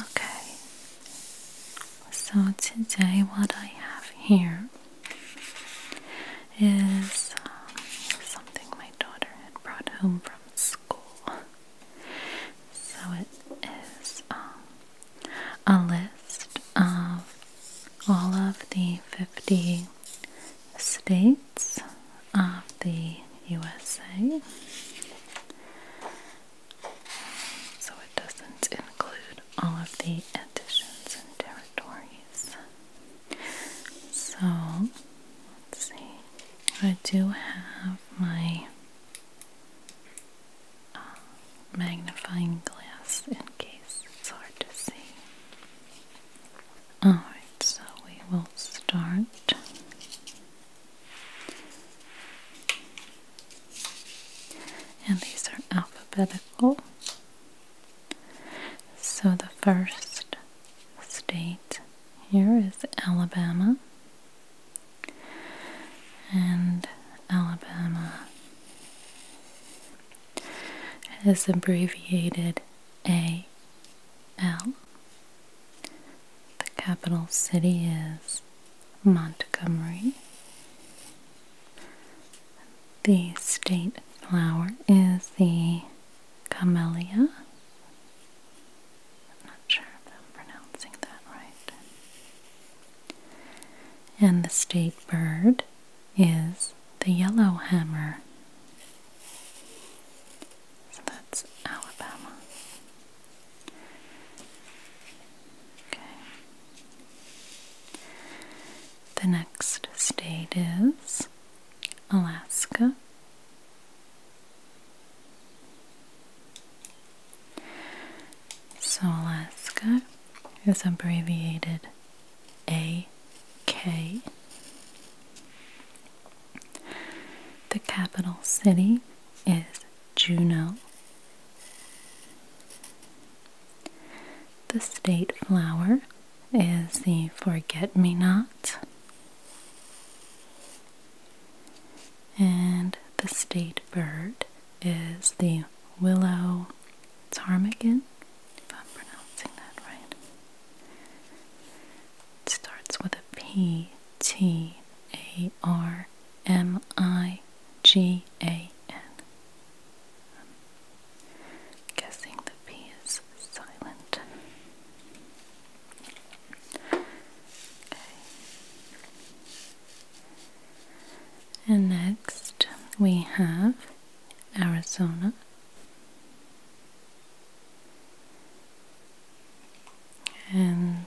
Okay, so today what I have here is um, something my daughter brought home from school. So it is um, a list of all of the 50 states of the USA. So it doesn't include all of the editions and territories. So let's see. I do have my uh, magnifying glass in case it's hard to see. Alright, so we will start and these are alphabetical. So the first state here is Alabama. And Alabama is abbreviated A L. The capital city is Montgomery. The state flower is the camellia. I'm not sure I'm pronouncing that right. And the state bird is the yellowhammer. So that's Alabama. Okay. The next state is Alaska. So Alaska is abbreviated AK. The capital city is Juneau. The state flower is the forget me not, and the state bird is the willow ptarmigan, if I'm pronouncing that right. It starts with a P T A R M I G A N. guessing the P is silent. And next we have Arizona. And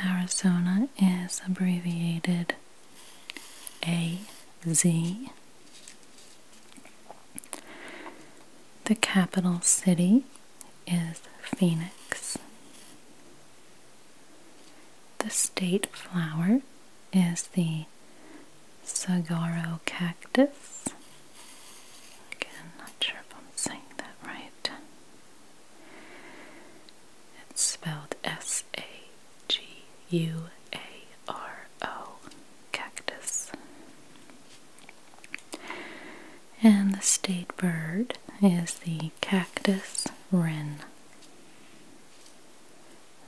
Arizona is abbreviated AZ. The capital city is Phoenix. The state flower is the sagaro cactus. Again, not sure if I'm saying that right. It's spelled S A G U A R O cactus. And the state bird is the cactus wren.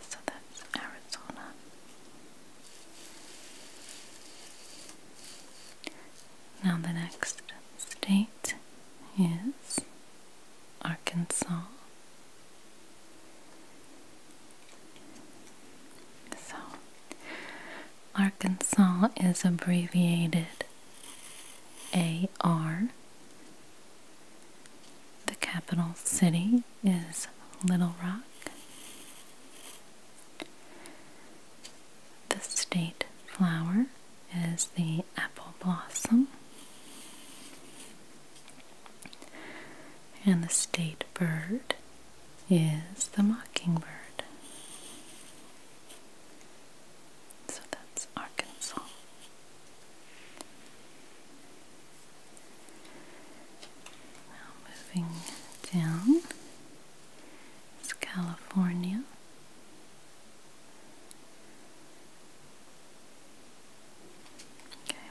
So that's Arizona. Now, the next state is Arkansas. So, Arkansas is abbreviated AR. The capital city is Little Rock. The state flower is the apple blossom. And the state bird is the mockingbird. So that's Arkansas. Now moving down it's California. Okay,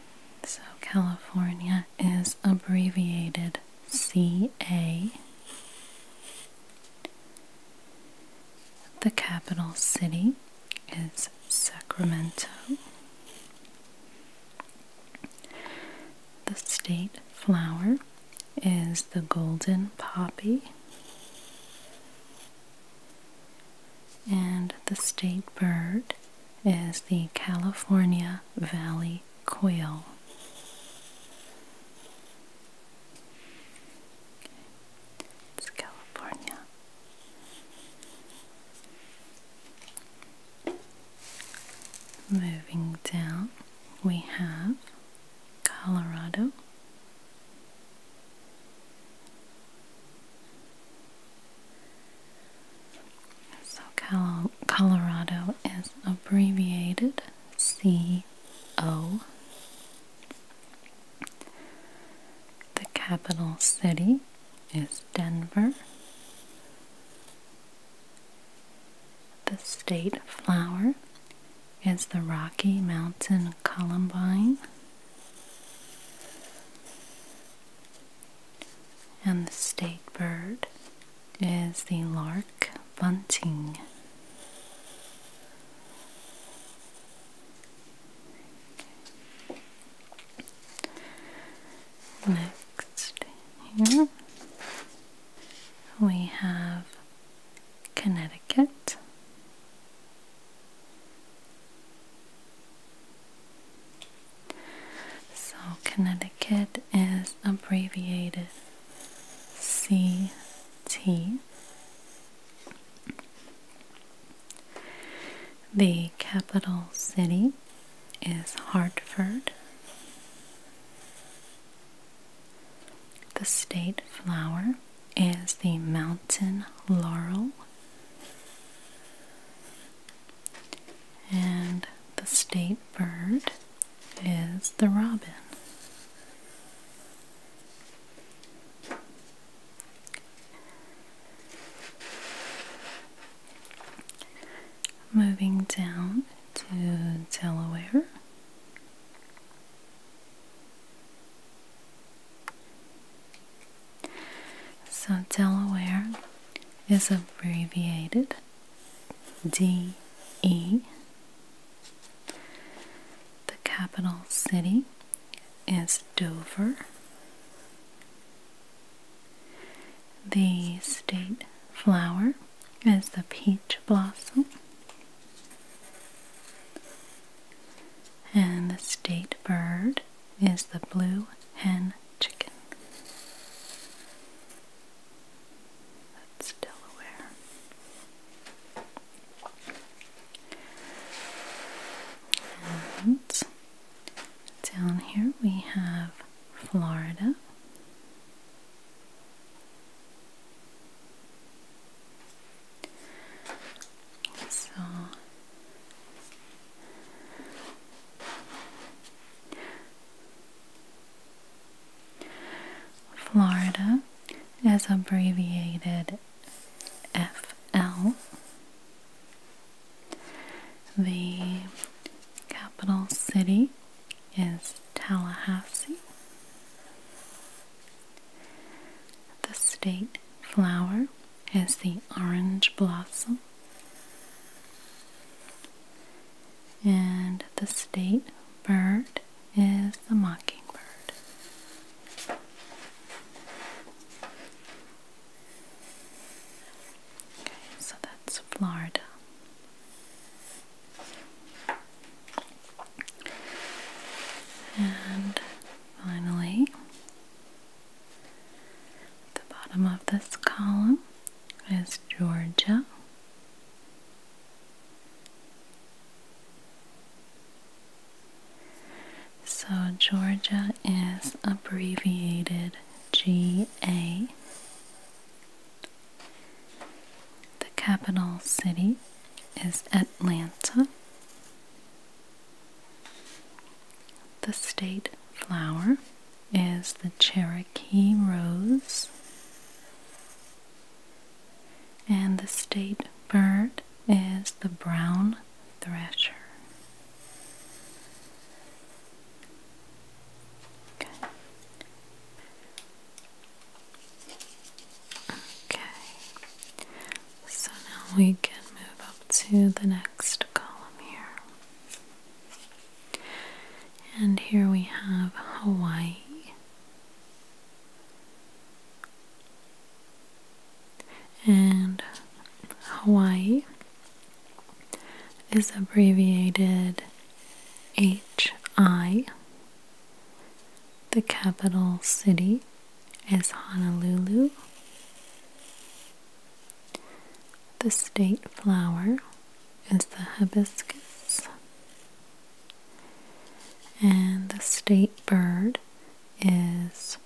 so California is abbreviated CA. The capital city is Sacramento. The state flower is the golden poppy, and the state bird is the California Valley quail. It's California. Moving down, we have Colorado. So, Colorado is abbreviated CO. The capital city is Denver. The state flower is the Rocky Mountain Columbine, and the state bird is the Lark Bunting. Next, here we have Connecticut, so Connecticut is abbreviated CT. The capital city is Hartford, the state flower is the mountain laurel, and the state bird is the robin. Moving down to Delaware. So Delaware is abbreviated DE. The capital city is Dover. The state flower is the peach blossom. And the state bird is the blue hen chicken. That's Delaware. And down here we have Florida so Florida is abbreviated FL. The capital city is Tallahassee. The state flower is the orange blossom. And the state bird is the mockingbird. Okay, so that's Florida. And finally, the bottom of this column is Georgia. So, Georgia is abbreviated GA the capital city is Atlanta. The state flower is the Cherokee rose. And the state bird is the brown thrasher. Okay. Okay. So now we can move up to the next column here. And here we have Hawaii. And Hawaii is abbreviated H.I. The capital city is Honolulu. The state flower is the hibiscus. And the state bird is,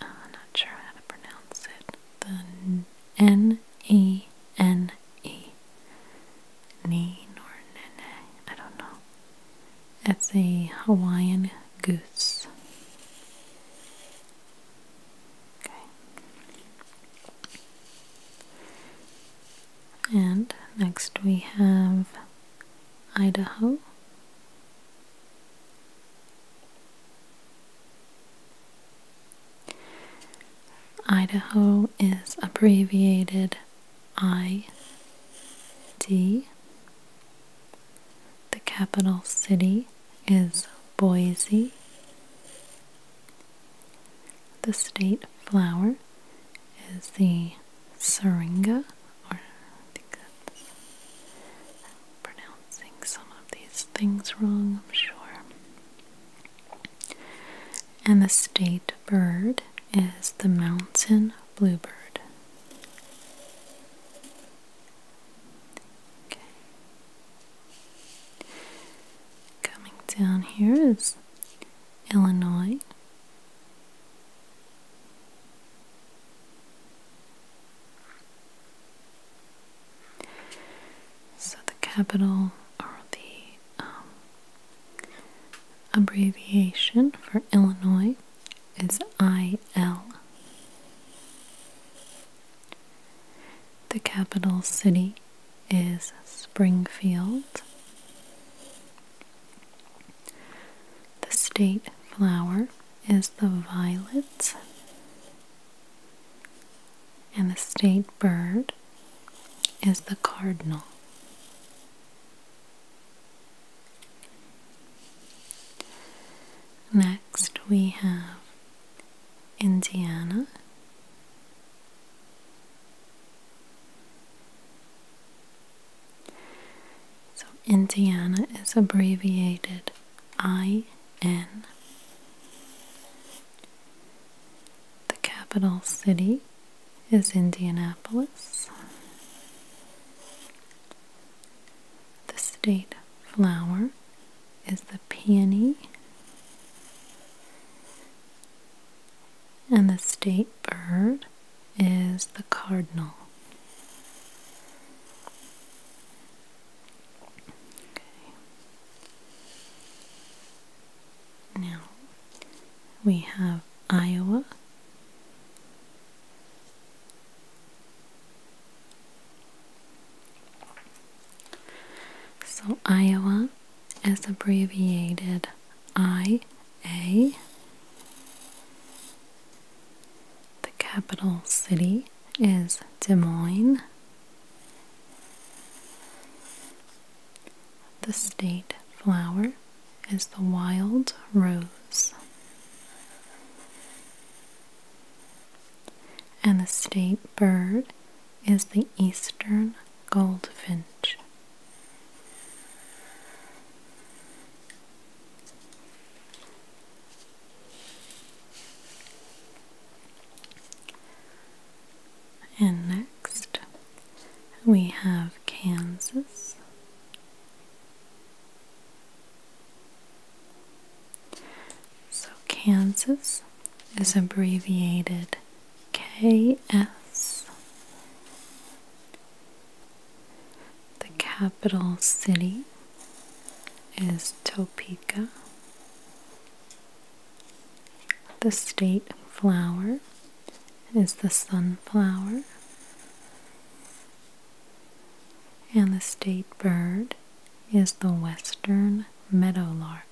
I'm not sure how to pronounce it, the N E N E. Neen or nene, I don't know. It's a Hawaiian goose. Okay. And next we have Idaho. Idaho is abbreviated ID. The capital city is Boise. The state flower is the syringa, or I think I'm pronouncing some of these things wrong, I'm sure and the state bird is the mountain bluebird. Okay. Coming down here is Illinois. So the capital or the um, abbreviation for Illinois is IL. The capital city is Springfield. The state flower is the violet. And the state bird is the cardinal. Next, we have Indiana. So, Indiana is abbreviated IN. The capital city is Indianapolis. The state flower is the peony. And the state bird is the cardinal. Now we have Iowa, so Iowa is abbreviated I A. The capital city is Des Moines. The state flower is the wild rose. And the state bird is the eastern goldfinch. And next we have Kansas. So Kansas is abbreviated KS. The capital city is Topeka. The state flower is the sunflower, and the state bird is the western meadowlark.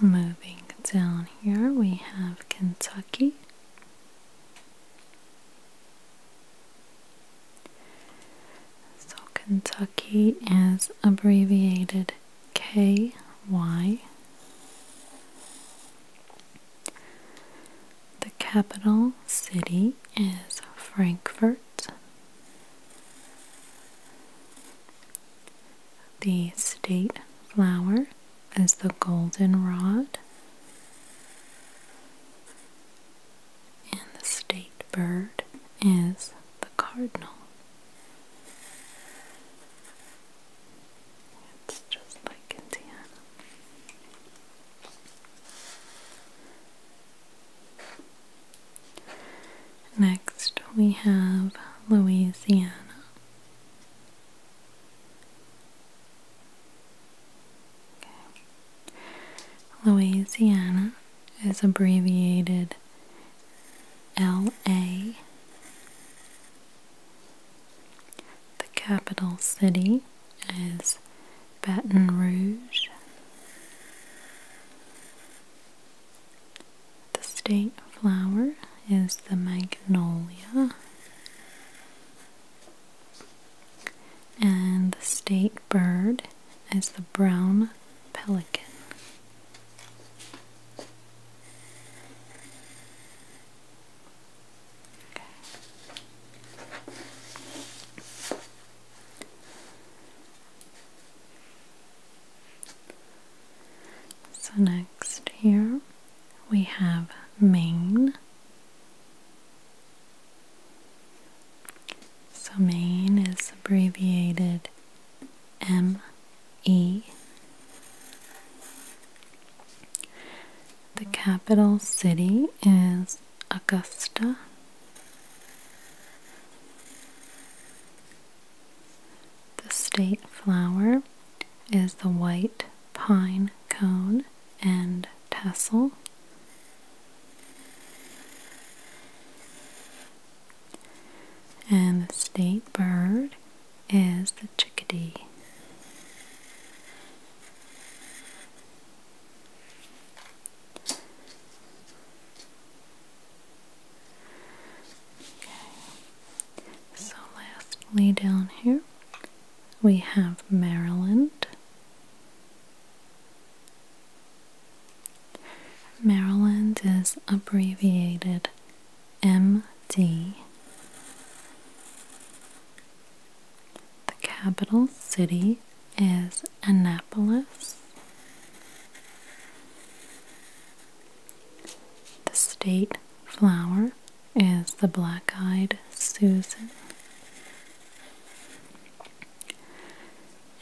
Moving down here, we have Kentucky so Kentucky is abbreviated KY. The capital city is Frankfurt. The state flower as the goldenrod and the state bird is the cardinal. It's just like Indiana. Next, we have Louisiana. Louisiana is abbreviated LA. The capital city is Baton Rouge. The state flower is the magnolia. And the state bird is the brown pelican. So, next here we have Maine. So Maine is abbreviated ME. The capital city is Augusta. The state flower is the white pine cone and tassel. And the state bird is the chickadee. Okay. So lastly down here we have Maryland. Maryland is abbreviated MD. The capital city is Annapolis. The state flower is the black eyed Susan.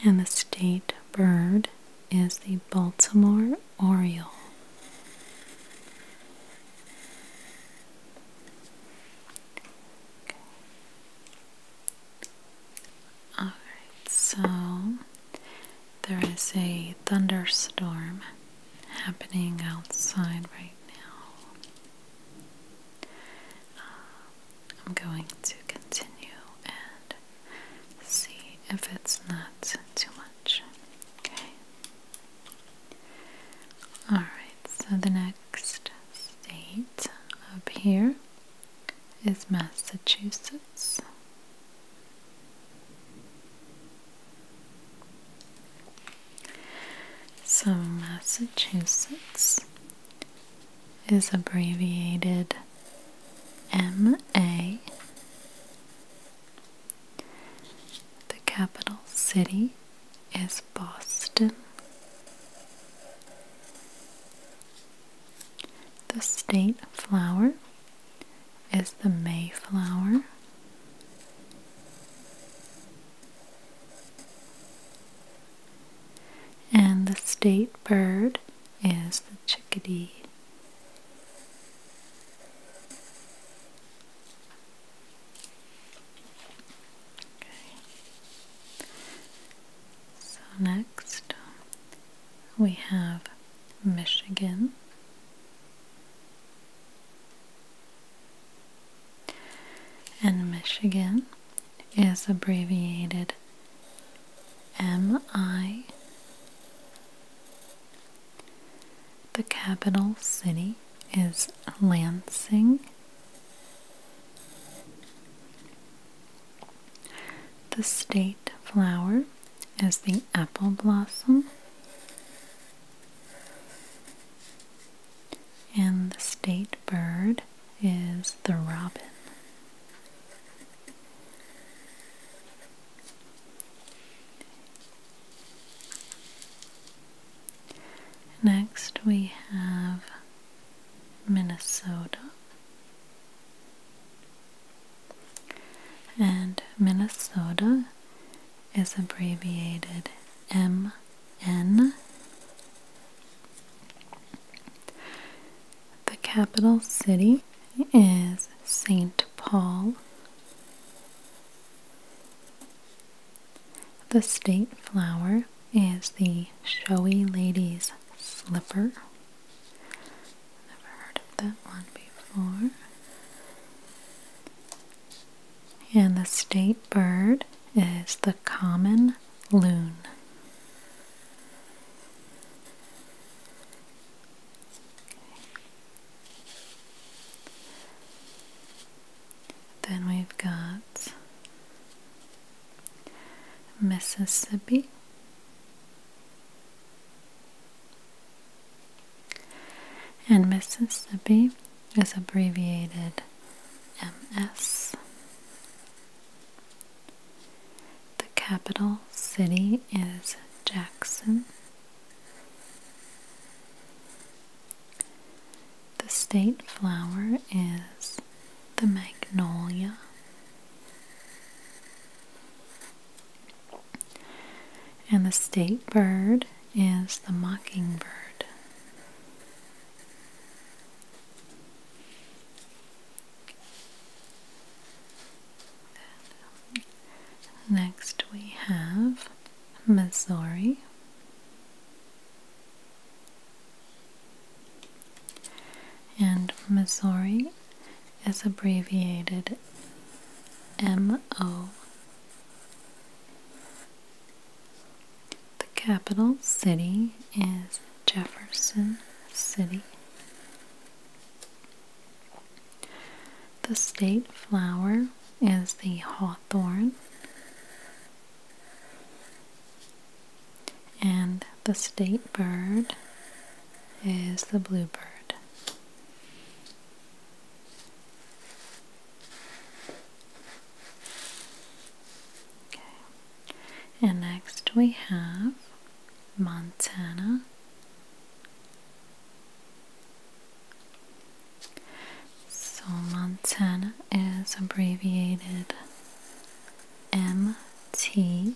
And the state bird is the Baltimore Oriole. All right, so there is a thunderstorm happening outside right now. Um, I'm going to continue and see if it's not too much. Okay. Alright, so the next state up here is Massachusetts. So, Massachusetts is abbreviated MA. The capital city is Boston. The state flower is the Mayflower. And the state bird is the chickadee. Okay. So next we have Michigan. And Michigan is abbreviated MI. The capital city is Lansing. The state flower is the apple blossom. And the state bird is the robin. Next, we have Minnesota. And Minnesota is abbreviated MN. The capital city is St. Paul. The state flower is the showy lady's slipper. Never heard of that one before. And the state bird is the common loon. Then we've got Mississippi. And Mississippi is abbreviated MS. The capital city is Jackson. The state flower is the magnolia and the state bird is the mockingbird. Next, we have Missouri. And Missouri is abbreviated MO. The capital city is Jefferson City. The state flower is the hawthorn. And the state bird is the bluebird. And next we have Montana. So Montana is abbreviated MT.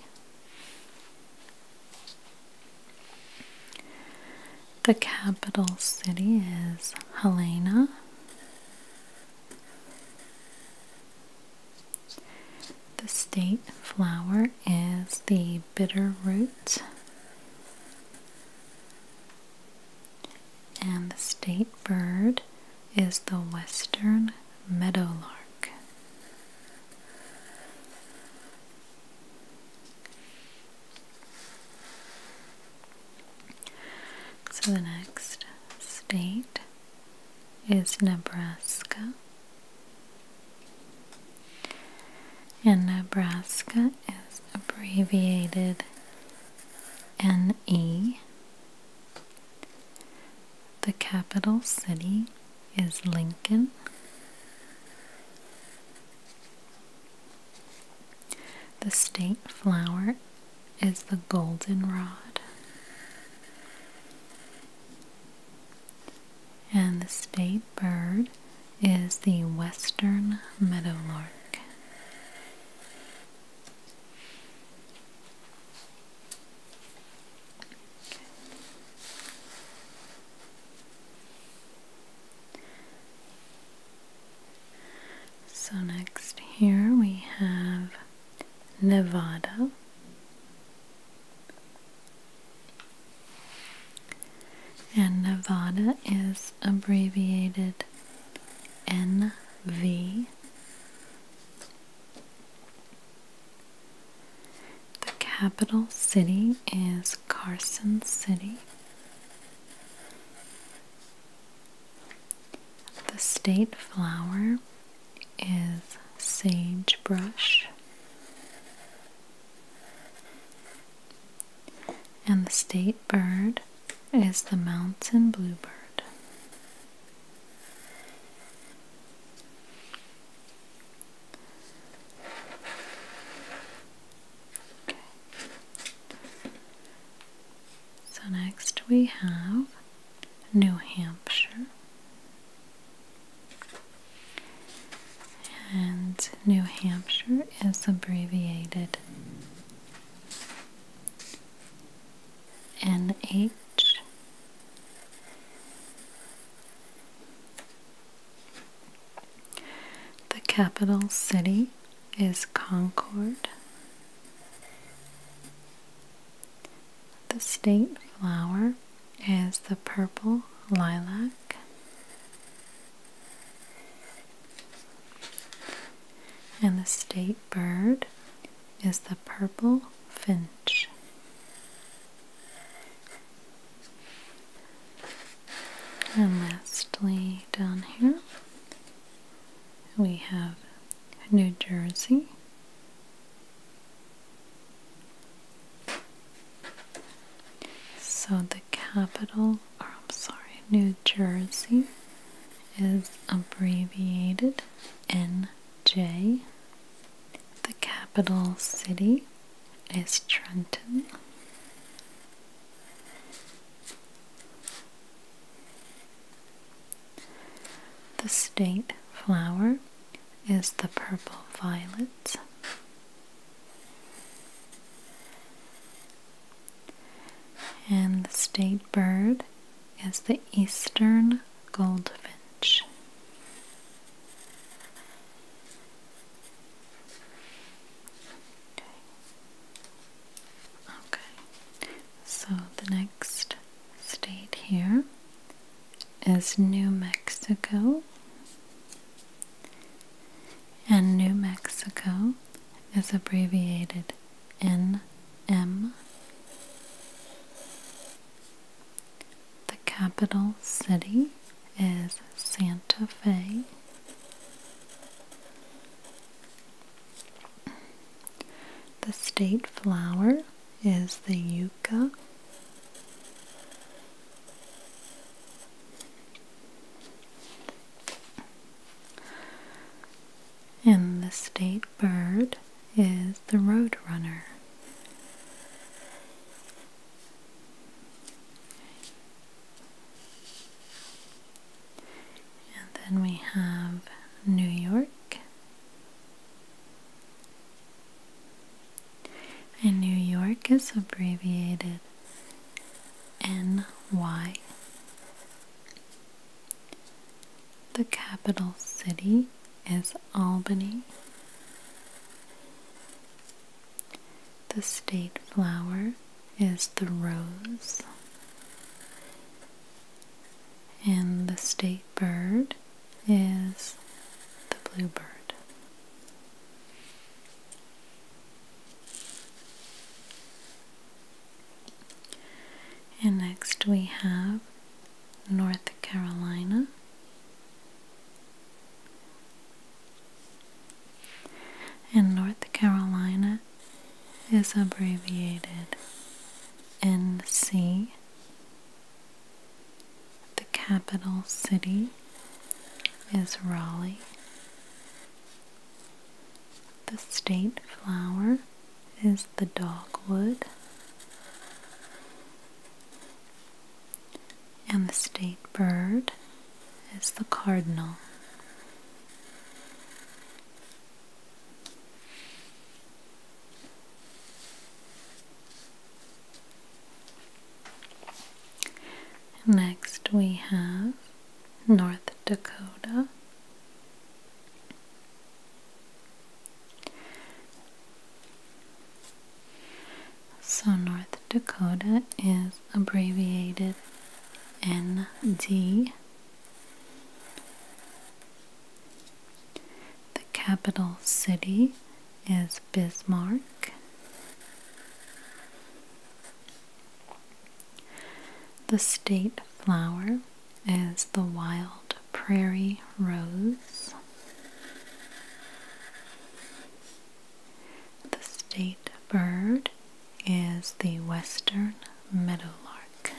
The capital city is Helena. The state flower is the bitterroot. And the state bird is the western meadowlark. So the next state is Nebraska. And Nebraska is abbreviated NE. The capital city is Lincoln. The state flower is the goldenrod, and the state bird is the western meadowlark. So, next here we have Nevada. And Nevada is abbreviated NV. The capital city is Carson City. The state flower is sagebrush, and the state bird is the mountain bluebird. So next we have New Hampshire. And New Hampshire is abbreviated NH. The capital city is Concord. The state flower is the purple lilac. And the state bird is the purple finch. And lastly, down here we have New Jersey, so the capital, or I'm sorry, New Jersey is abbreviated NJ. The capital city is Trenton. The state flower is the purple violet. And the state bird is the eastern goldfinch. Okay, so the next state here is New Mexico, and New Mexico is abbreviated NM. The capital city is Santa Fe. The state flower is the yucca. And the state bird is the roadrunner. And then we have New York. And New York is abbreviated NY. The capital city is Albany. The state flower is the rose. And the state bird is the bluebird. And next we have North Carolina. And North Carolina is abbreviated NC. The capital city is Raleigh. The state flower is the dogwood. And the state bird is the cardinal. Next, we have North Dakota. So, North Dakota is abbreviated ND the capital city is Bismarck. The state flower is the wild prairie rose. The state bird is the western meadowlark.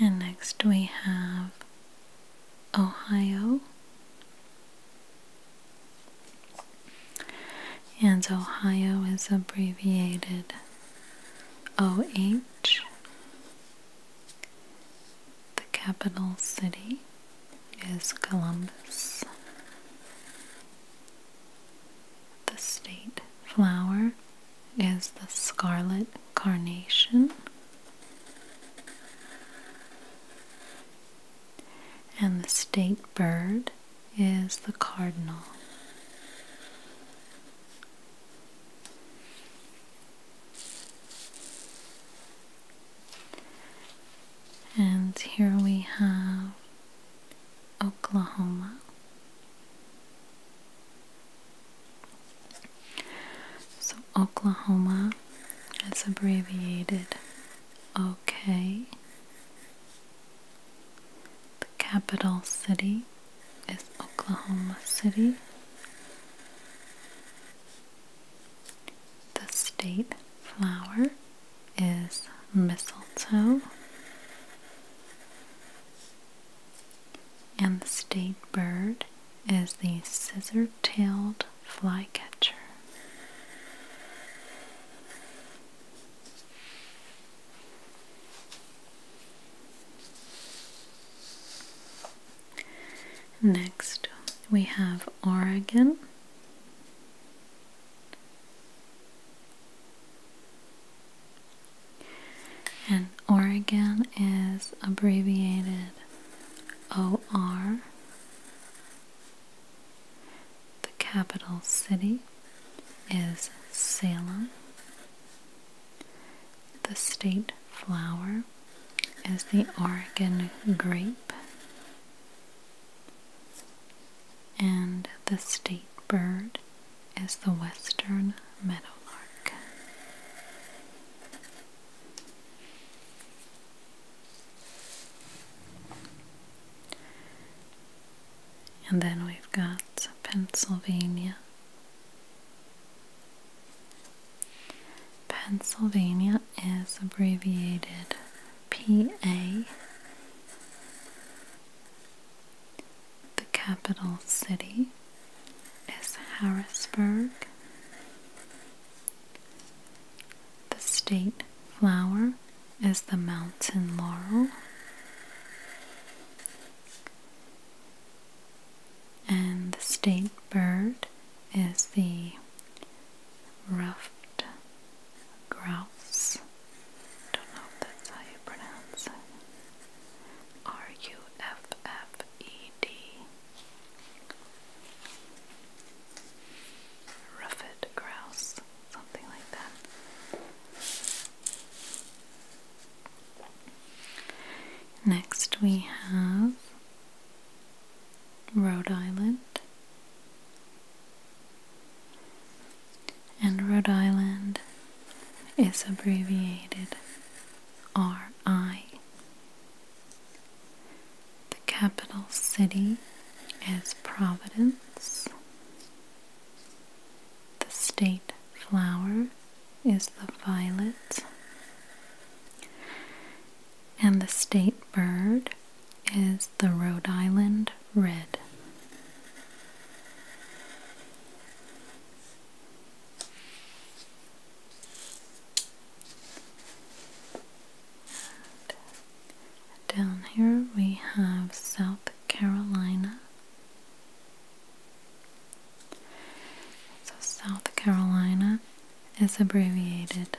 And next we have Ohio. And Ohio is abbreviated OH the capital city is Columbus. The state flower is the scarlet carnation. And the state bird is the cardinal. And here we have Oklahoma. So, Oklahoma is abbreviated OK. The capital city is Oklahoma City. The state flower is mistletoe, and the state bird is the scissor tailed flycatcher. Next, we have Oregon. And Oregon is abbreviated OR, the capital city is Salem, the state flower is the Oregon grape, and the state bird is the western meadowlark. And then we've got Pennsylvania Pennsylvania is abbreviated PA. The capital city is Harrisburg. The state flower is the mountain laurel and the state bird is the ruffed grouse. Don't know if that's how you pronounce it. R U F F E D. Ruffed grouse, something like that. Next, we have Rhode Island. And Rhode Island is abbreviated RI. The capital city is Providence. The state flower is the violet, and the state bird is the Rhode Island red. down here we have South Carolina. So South Carolina is abbreviated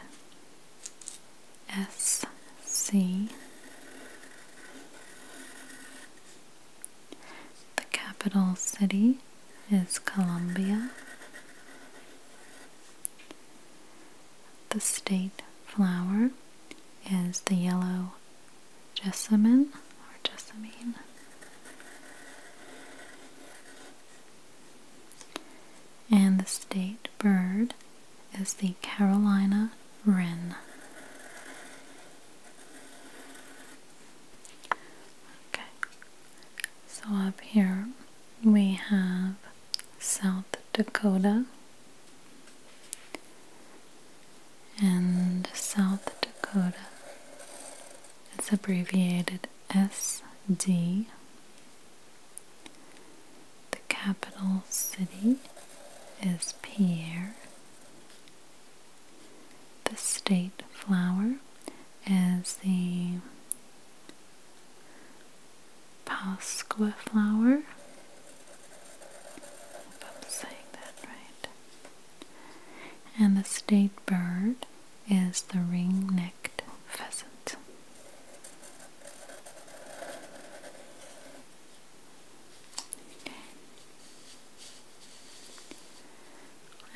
SC. The capital city is Columbia. The state flower is the yellow jessamine or jessamine. And the state bird is the Carolina wren. Okay, so up here we have South Dakota. And South Dakota. It's abbreviated SD, the capital city is Pierre, the state flower is the Pasqua flower. If I'm saying that right. And the state bird is the ring-necked pheasant.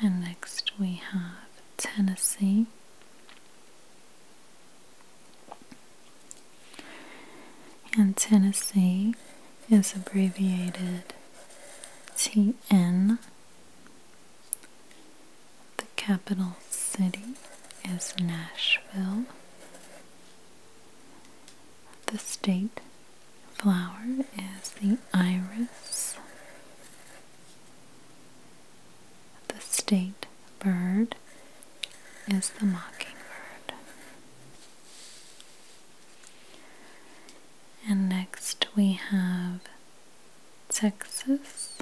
And next we have Tennessee. And Tennessee is abbreviated TN the capital city is Nashville. The state flower is the iris. The state bird is the mockingbird. And next we have Texas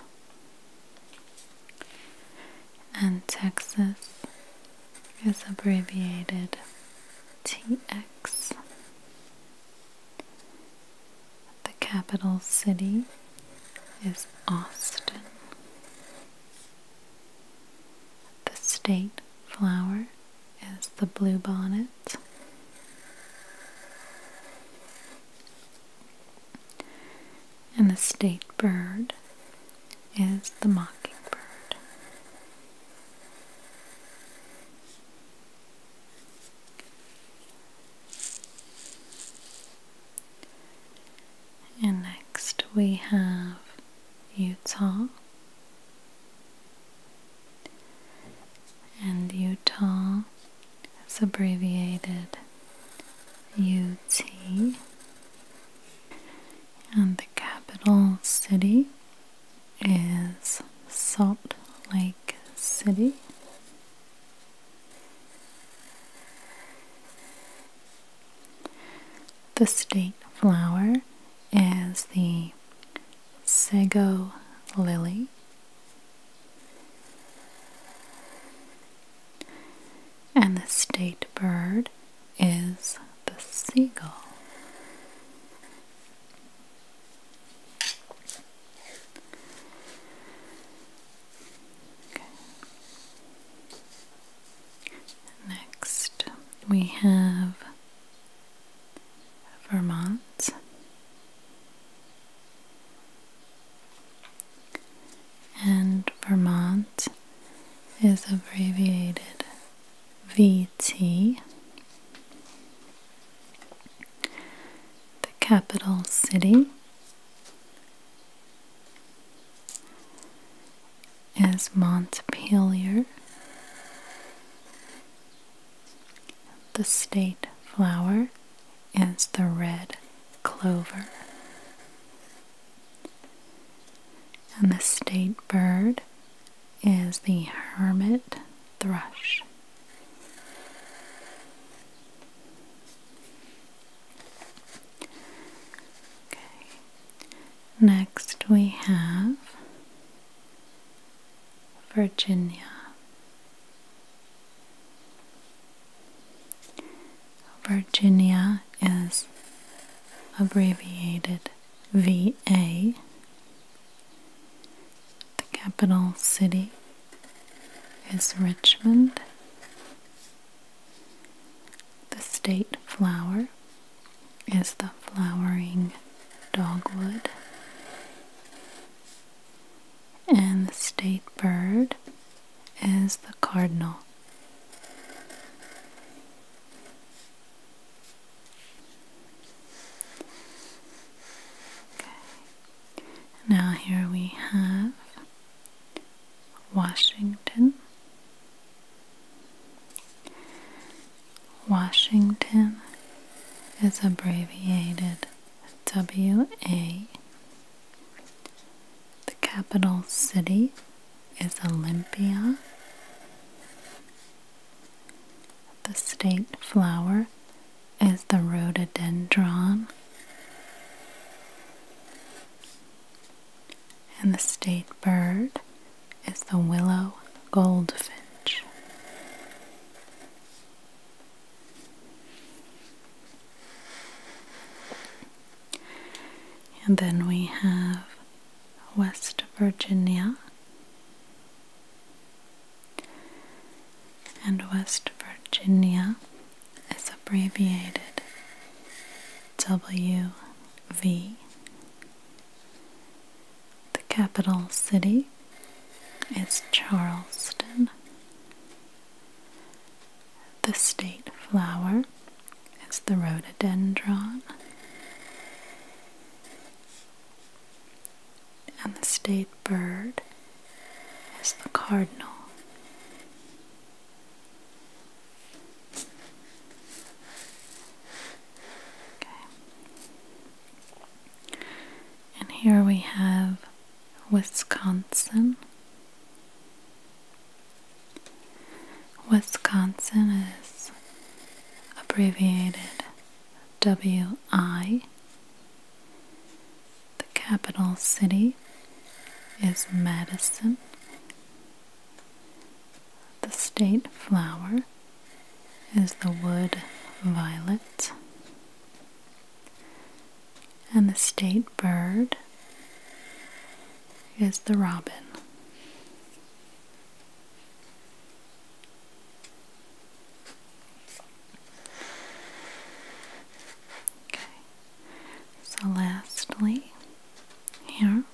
and Texas is abbreviated TX. The capital city is Austin. The state flower is the bluebonnet. And the state bird is the mockingbird. And next we have Utah. And Utah it's abbreviated UT. And the capital city is Salt Lake City. The state flower is the sago lily. And the state bird is the seagull. Okay. Next, we have Vermont. And Vermont is abbreviated VT. The capital city is Montpelier. The state flower is the red clover. And the state bird is the hermit thrush. Okay. Next we have Virginia, Virginia is abbreviated VA, the capital city is Richmond. The state flower is the flowering dogwood and the state bird is the cardinal. Okay. Now, here we have Washington. Washington is abbreviated WA. The capital city is Olympia. The state flower is the rhododendron. And the state bird is the willow goldfinch. And then we have West Virginia. And West Virginia is abbreviated WV. The capital city it's Charleston. The state flower is the rhododendron. And the state bird is the cardinal. Okay. And here we have Wisconsin. Wisconsin is abbreviated WI. The capital city is Madison. The state flower is the wood violet and the state bird is the robin. Okay. So lastly, here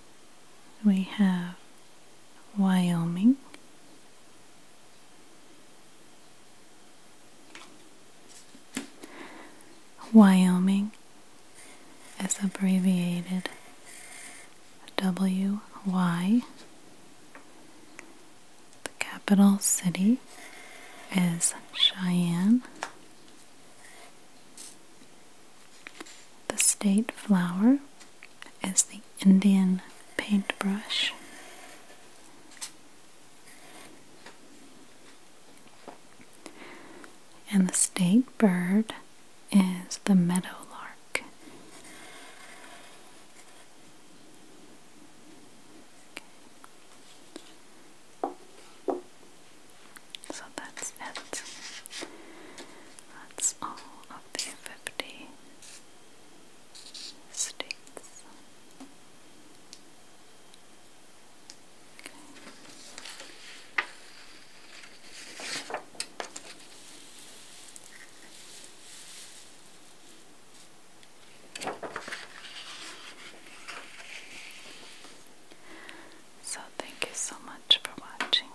we have Wyoming Wyoming is abbreviated WY. The capital city is Cheyenne. The state flower is the Indian paintbrush. And the state bird is the meadow lark. So that's it. That's all of the 50 states. So thank you so much for watching.